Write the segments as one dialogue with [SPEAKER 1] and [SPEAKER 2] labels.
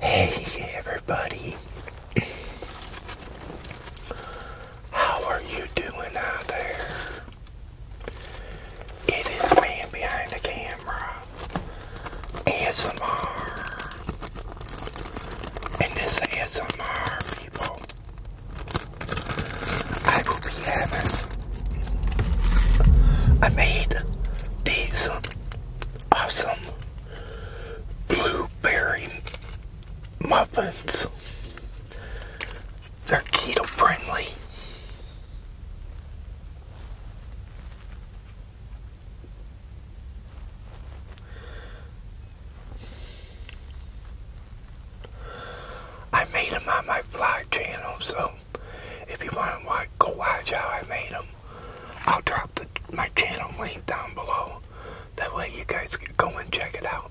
[SPEAKER 1] Hey everybody, how are you doing out there? It is me behind the camera, ASMR, and this ASMR people, I will be having I made these awesome blueberry muffins. They're keto friendly. I made them on my fly channel, so if you want to go watch how I made them, I'll drop my channel link down below. That way you guys can go and check it out.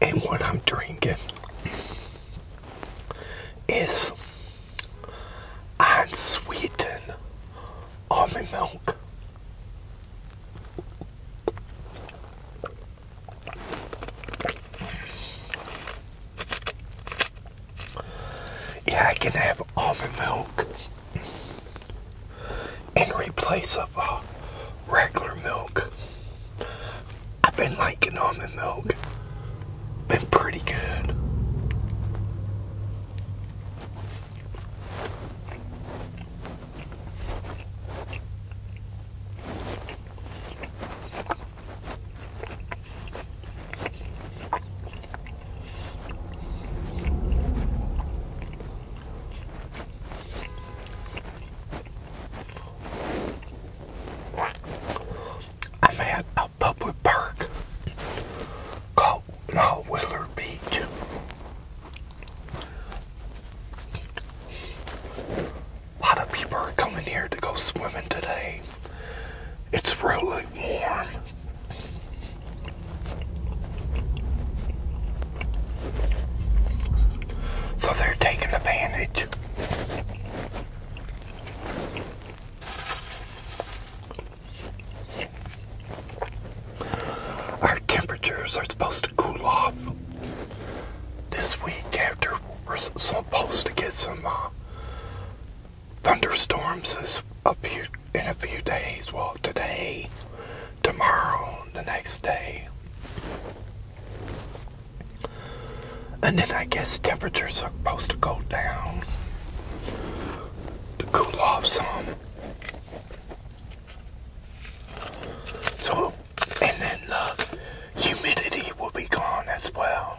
[SPEAKER 1] And what I'm drinking is unsweetened almond milk. Yeah, I can have almond milk in replace of uh, regular milk. I've been liking almond milk. Been pretty good. I'm at a public park called Law Beach. A lot of people are coming here to go swimming today. It's really warm. So they're taking advantage. Our temperatures are supposed to cool off this week after we're supposed to get some uh, thunderstorms is up here in a few days. Well, today, tomorrow, the next day. And then I guess temperatures are supposed to go down to cool off some. So, and then the humidity will be gone as well.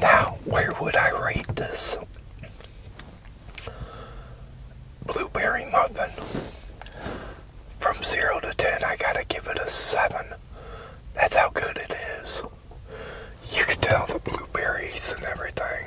[SPEAKER 1] Now, where would I rate this blueberry muffin? From 0 to 10, I gotta give it a 7. That's how good it is. You could tell the blueberries and everything.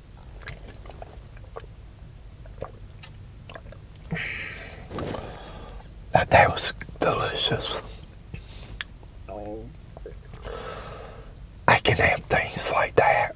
[SPEAKER 1] That, was delicious. I can have things like that.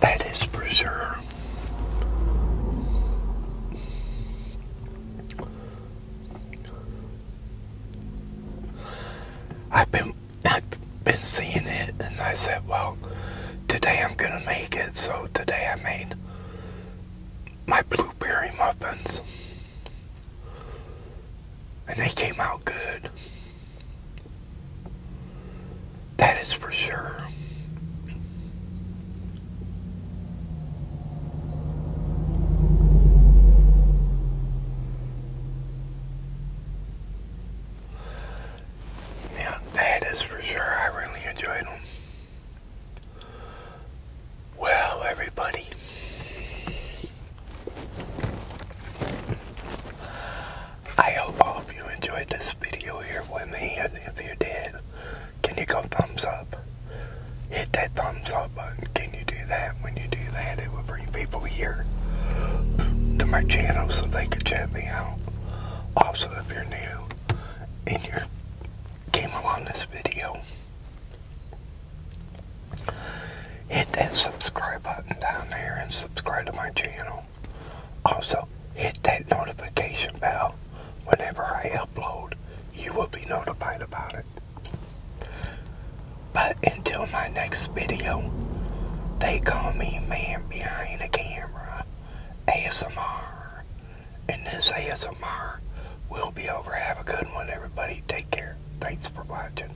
[SPEAKER 1] That is for sure. I've been I've been seeing it and I said, well, today I'm gonna make it, so today I made my blueberry muffins. And they came out good. That is for sure. Yeah, that is for sure. I really enjoyed them. Well, everybody, I hope all of you enjoyed this video here with me, if you did, can you go thumbs up? Hit that thumbs up button. Can you do that? When you do that, it will bring people here to my channel so they can check me out. Also, if you're new and you came along this video, hit that subscribe button down there and subscribe to my channel. Also, hit that notification bell. Whenever I upload, you will be notified about it. But until my next video, they call me man behind the camera, ASMR. And this ASMR we will be over. Have a good one, everybody. Take care. Thanks for watching.